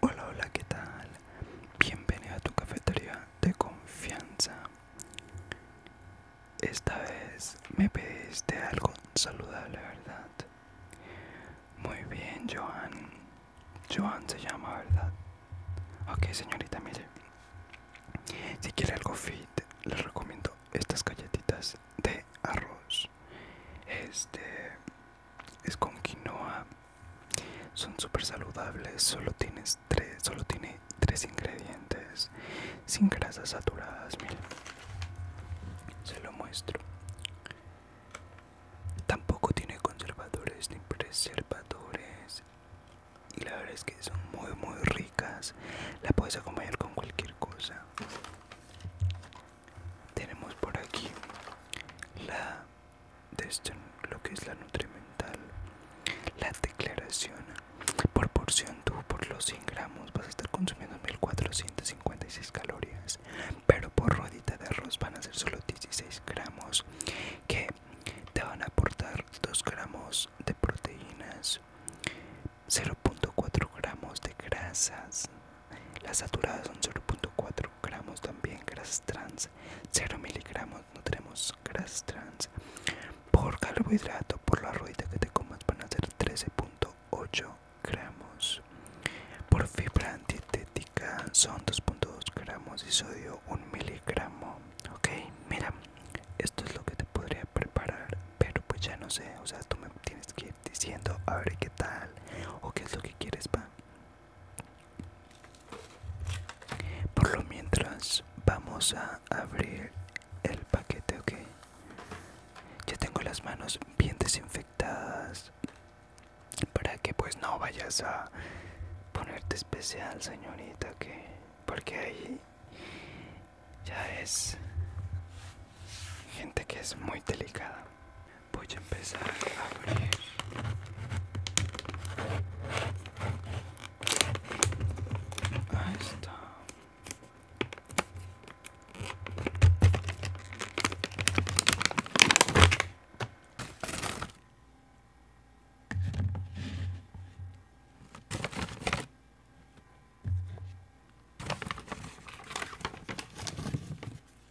Hola, hola, ¿qué tal? Bienvenido a tu cafetería de confianza. Esta vez me pediste algo saludable, ¿verdad? Muy bien, Joan. Joan se llama, ¿verdad? Ok, señorita, mire. Si quiere algo fit, les recomiendo estas galletitas de arroz. Este es con quinoa son súper saludables solo tienes tres solo tiene tres ingredientes sin grasas saturadas miren se lo muestro tampoco tiene conservadores ni preservadores y la verdad es que son muy muy ricas la puedes acompañar con cualquier cosa tenemos por aquí la de esto, lo que es la nutrimental la declaración por porción tú por los 100 gramos vas a estar consumiendo 1456 calorías pero por rodita de arroz van a ser solo 16 gramos que te van a aportar 2 gramos de proteínas 0.4 gramos de grasas las saturadas son 0.4 gramos también grasas trans, 0 miligramos no tenemos grasas trans. Por carbohidrato, por la rodita que te comas van a ser 13.8 gramos. Por fibra dietética son 2.2 gramos y sodio 1 miligramo. Ok, mira, esto es lo que te podría preparar, pero pues ya no sé, o sea, tú me tienes que ir diciendo a ver qué tal o qué es lo que quieres, va. Por lo mientras vamos a abrir el paquete, ok. Ya tengo las manos bien desinfectadas para que pues no vayas a ponerte especial, señorita, ok. Porque ahí ya es gente que es muy delicada voy a empezar a abrir ahí está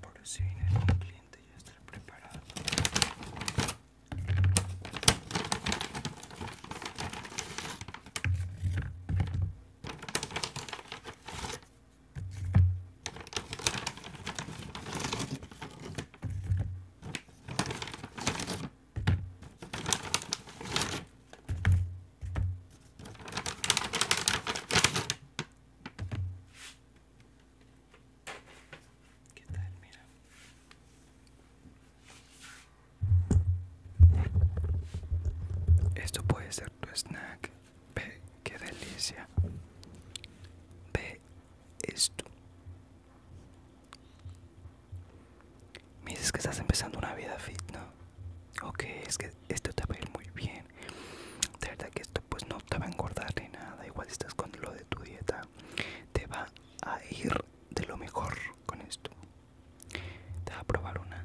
Por si viene el cliente ya está preparado. ¿Qué Esto puede ser tu snack. Ve, qué delicia. Ve, esto. Me dices que estás empezando una vida fit, ¿no? Ok, es que esto te va a ir muy bien. De verdad que esto pues no te va a engordar ni nada. Igual estás con lo de tu dieta. Te va a ir de lo mejor con esto. Te va a probar una.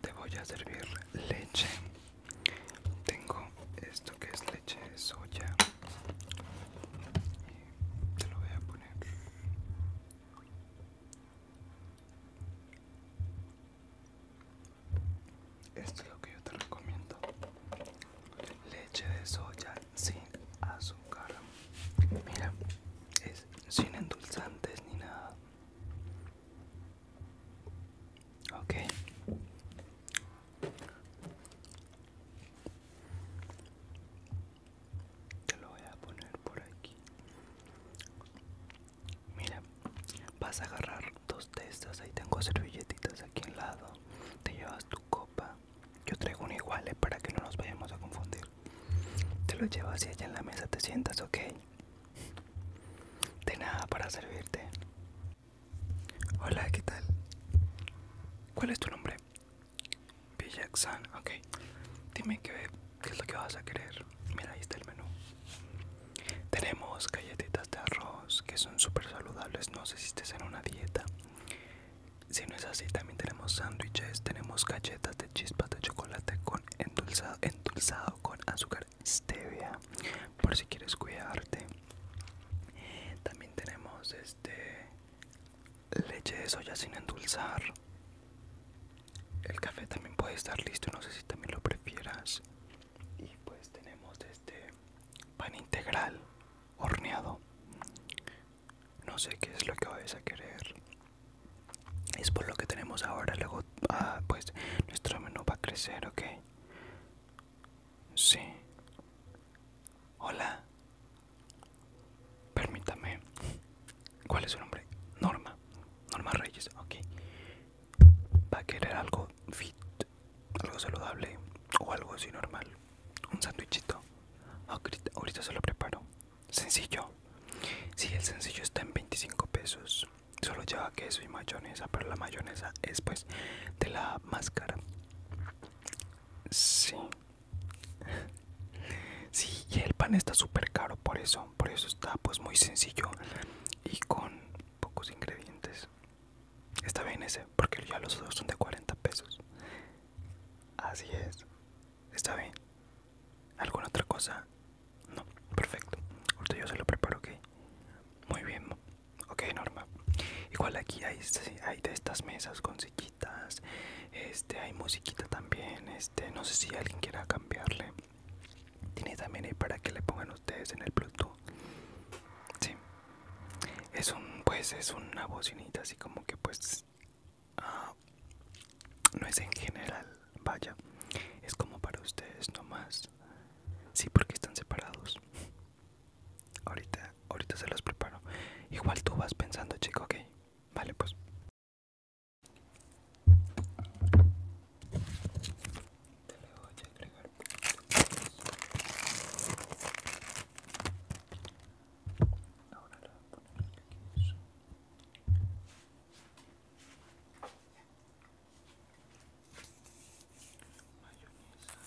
Te voy a servir leche. Tengo esto que es leche de soya. Y te lo voy a poner. Esto es lo que yo te recomiendo. Leche de soya sin azúcar. Mira, es sin endulzantes ni nada. Ok. Te lo voy a poner por aquí. Mira, vas a agarrar dos de Ahí tengo servilletitas aquí al lado. Te llevas tu copa. Yo traigo un igual eh, para que no nos vayamos a confundir. Te lo llevo hacia allá en la mesa, te sientas, ok. De nada para servirte. Hola, ¿qué tal? ¿Cuál es tu nombre? Pijaxan, ok. Dime qué, es lo que vas a querer. Mira, ahí está el menú. Tenemos galletitas de arroz que son súper saludables. No sé si estés en una dieta. Si no es así, también tenemos sándwiches, tenemos galletas de chispas de chocolate con endulzado, endulzado con azúcar stevia, por si quieres cuidarte. También tenemos este leche de soya sin endulzar. El café también puede estar listo, no sé si también lo prefieras. Y pues tenemos este pan integral horneado no sé qué es lo que vais a querer. Es por lo que tenemos ahora. Luego, ah, pues nuestro menú va a crecer, ¿ok? Sí. Hola. Permítame. ¿Cuál es su nombre? Norma. Norma Reyes, ok. Va a querer algo fit, algo saludable o algo así normal. Un sándwichito. ahorita se lo preparo sencillo. Si el sencillo está en 25 pesos, solo lleva queso y mayonesa, pero la mayonesa es pues de la máscara. Sí. Sí, y el pan está súper caro por eso, por eso está pues muy sencillo y con pocos ingredientes. Está bien ese, porque ya los otros son de 40 pesos. Así es. ¿Está bien? ¿Alguna otra cosa? No, perfecto. Ahorita yo se lo preparo, ¿ok? Muy bien. Ok, normal Igual aquí hay, de estas mesas con sillitas. Este, hay musiquita también. Este, no sé si alguien quiera cambiarle. Tiene también ahí para que le pongan ustedes en el Bluetooth. Sí. Es un, pues es una bocinita así como que pues Ah, no es en general, vaya, es como para ustedes nomás. Sí, porque están separados. Ahorita, ahorita se los preparo. Igual tú vas pensando, chico, ok. Vale, pues. Te voy a agregar. Ahora la voy a poner aquí. Eso. Mayonesa. Ahora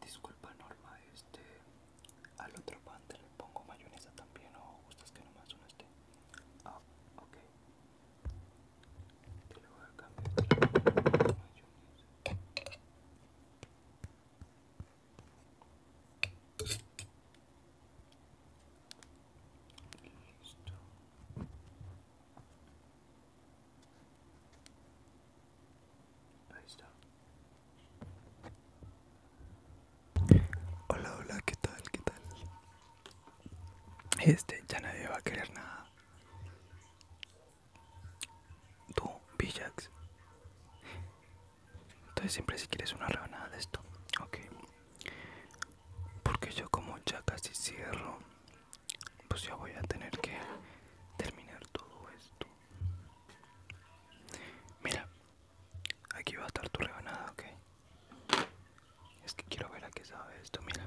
Disculpa Norma, este al otro pan te le pongo mayonesa también o gustas que nomás uno esté. Ah, ok. Te lo voy a cambiar. Hola, hola, ¿qué tal? ¿Qué tal? Este, ya nadie va a querer nada. Tú, Villax. Entonces siempre si quieres una rebanada de esto, ok. Porque yo como ya casi cierro, pues ya voy a tener que terminar todo esto. Mira, aquí va a estar tu rebanada, ok. Es que quiero ver a qué sabe esto, mira.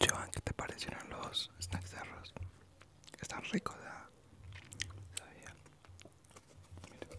Joan, ¿qué te parecieron los snacks de arroz? Está rico, ¿verdad? Sabía. Mira.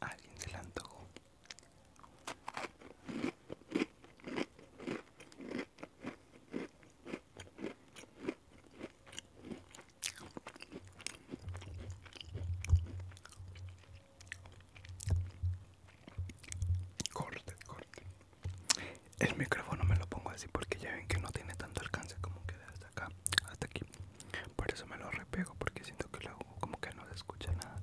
alguien se la antojó. Corte, corte. El micrófono me lo pongo así porque ya ven que no tiene tanto alcance como que hasta acá hasta aquí. Por eso me lo repego porque siento que lo hago como que no se escucha nada.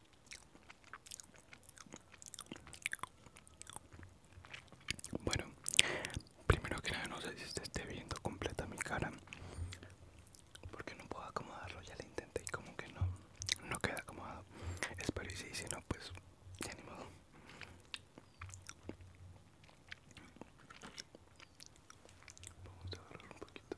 Bueno, primero que nada no sé si esté viendo completa mi cara Porque no puedo acomodarlo, ya lo intenté y como que no, no queda acomodado Espero y si no pues ya ni modo Vamos a agarrar un poquito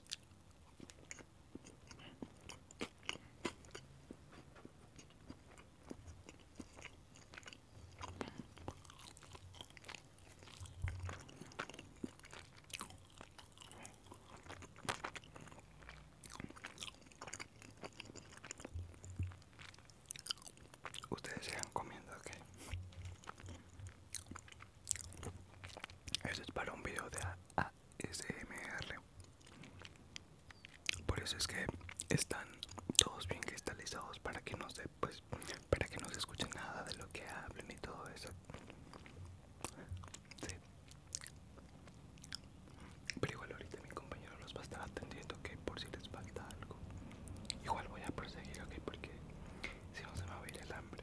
Ustedes sigan comiendo, aquí Eso es para un video de SMR Por eso es que están todos bien cristalizados para que no se pues para que no se escuche nada de lo que hablen y todo eso. Pero igual ahorita mi compañero los va a estar atendiendo que por si les falta algo. Igual voy a proseguir, ok, porque si no se me va a ir el hambre.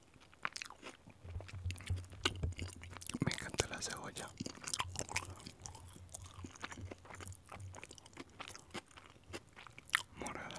Me encanta la cebolla. Morada.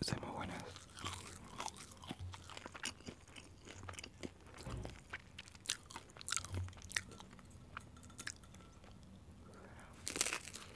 Están muy buenas.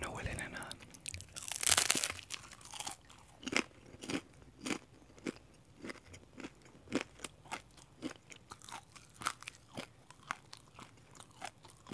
No huele a nada.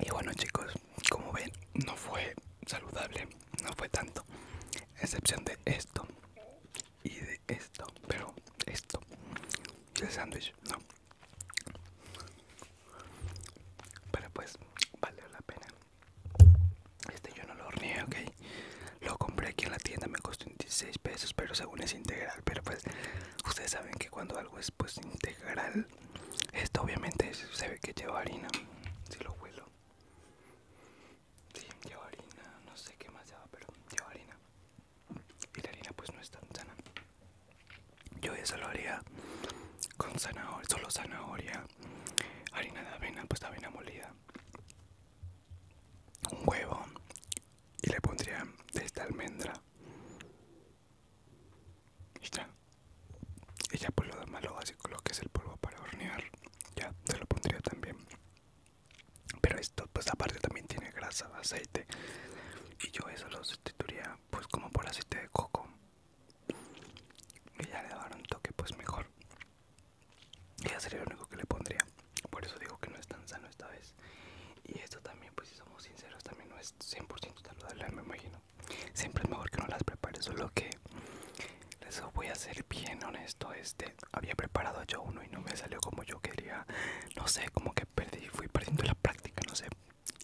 Y bueno chicos, como ven, no fue saludable, no fue tanto, excepción de esto y de esto, pero esto, el sándwich, no. Pero pues, vale la pena. Este yo no lo horneé, ok. Lo compré aquí en la tienda, me costó 16 pesos, pero según es integral. Pero pues, ustedes saben que cuando algo es pues integral, esto obviamente se ve que lleva harina. Si lo huelo. Sí, lleva harina. No sé qué más lleva, pero lleva harina. Y la harina pues no es tan sana. Yo eso lo haría con zanahoria, solo zanahoria, harina de avena, pues avena molida, un huevo y le pondría esta almendra y ya. Y ya lo demás lo básico, lo que es el polvo para hornear, ya se lo pondría también. Pero esto pues aparte también tiene grasa, aceite. Y yo eso lo sustituiría pues como por aceite de coco. Y ya le dará un toque pues mejor. Y ya sería lo único que le pondría. Por eso digo que no es tan sano esta vez. Y esto también pues si somos sinceros también no es 100% saludable me imagino siempre es mejor que no las prepare solo que les voy a ser bien honesto este había preparado yo uno y no me salió como yo quería no sé como que perdí fui perdiendo la práctica no sé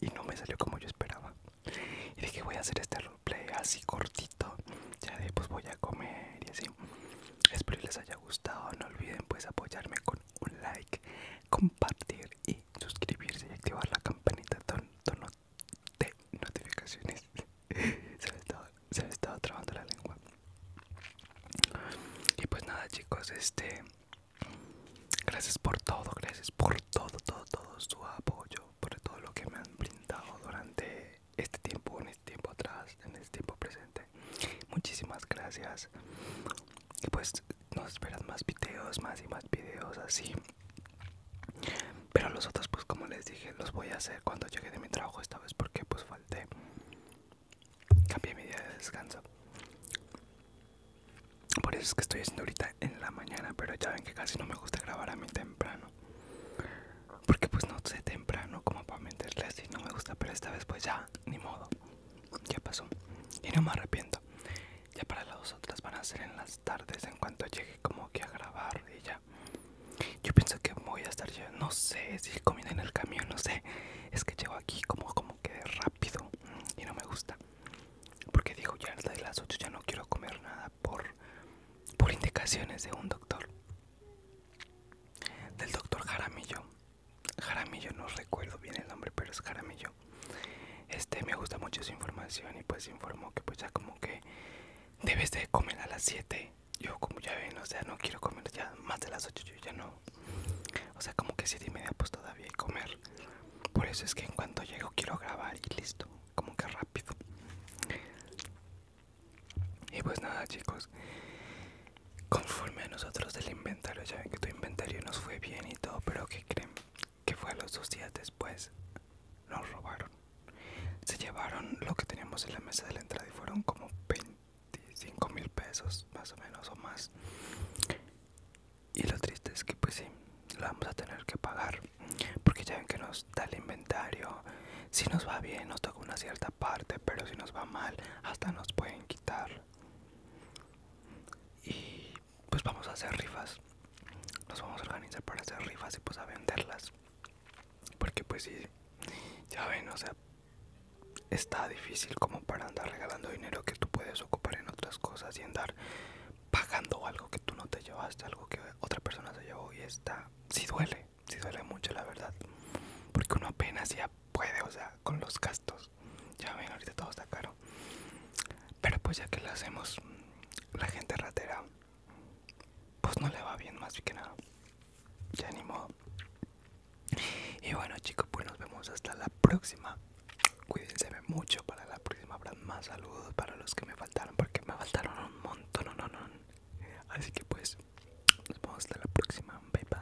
y no me salió como yo esperaba y dije voy a hacer este roleplay así cortito ya de pues voy a comer y así espero les haya gustado no olviden pues apoyarme con un like compartir y suscribirse y activar la campanita de notificaciones. se, me estaba, se la lengua. Y pues nada, chicos, este. Gracias por todo, gracias por todo, todo, todo su apoyo, por todo lo que me han brindado durante este tiempo, en este tiempo atrás, en este tiempo presente. Muchísimas gracias y pues nos esperan más videos más y más videos así pero los otros pues como les dije los voy a hacer cuando llegue de mi trabajo esta vez porque pues falté cambié mi día de descanso por eso es que estoy haciendo ahorita en la mañana pero ya ven que casi no me gusta grabar a mí temprano porque pues no sé temprano como para mentirles Y no me gusta pero esta vez pues ya ni modo ya pasó y no me arrepiento ya para las otras van a ser en las tardes en cuanto llegue como que a grabar y ya. Yo pienso que voy a estar yo, no sé si comiendo en el camión, no sé. Es que llego aquí como como que rápido y no me gusta. Porque dijo ya desde las 8 ya no quiero comer nada por por indicaciones de un doctor. Del doctor Jaramillo. Jaramillo no recuerdo bien el nombre, pero es Jaramillo este me gusta mucho su información y pues informó que pues ya como que debes de comer a las 7 yo como ya ven o sea no quiero comer ya más de las 8 yo ya no o sea como que 7 y media pues todavía comer por eso es que en cuanto llego quiero grabar y listo como que rápido y pues nada chicos conforme a nosotros del inventario ya ven que tu inventario nos fue bien y todo pero que creen que fue a los dos días después, nos robaron. Se llevaron lo que teníamos en la mesa de la entrada y fueron como 25 mil pesos, más o menos, o más. Y lo triste es que, pues sí, lo vamos a tener que pagar. Porque ya ven que nos da el inventario. Si nos va bien, nos toca una cierta parte, pero si nos va mal, hasta nos pueden quitar. Y pues vamos a hacer rifas nos vamos a organizar para hacer rifas y pues a venderlas porque pues si, ya ven o sea está difícil como para andar regalando dinero que tú puedes ocupar en otras cosas y andar pagando algo que tú no te llevaste algo que otra persona se llevó y está si sí duele si sí duele mucho la verdad porque uno apenas ya puede o sea con los gastos ya ven ahorita todo está caro pero pues ya que lo hacemos la gente ratera pues no le va bien más que nada ya ni modo y bueno chicos pues nos vemos hasta la próxima cuídense mucho para la próxima habrá más saludos para los que me faltaron porque me faltaron un montón no, no, no. así que pues nos vemos hasta la próxima bye bye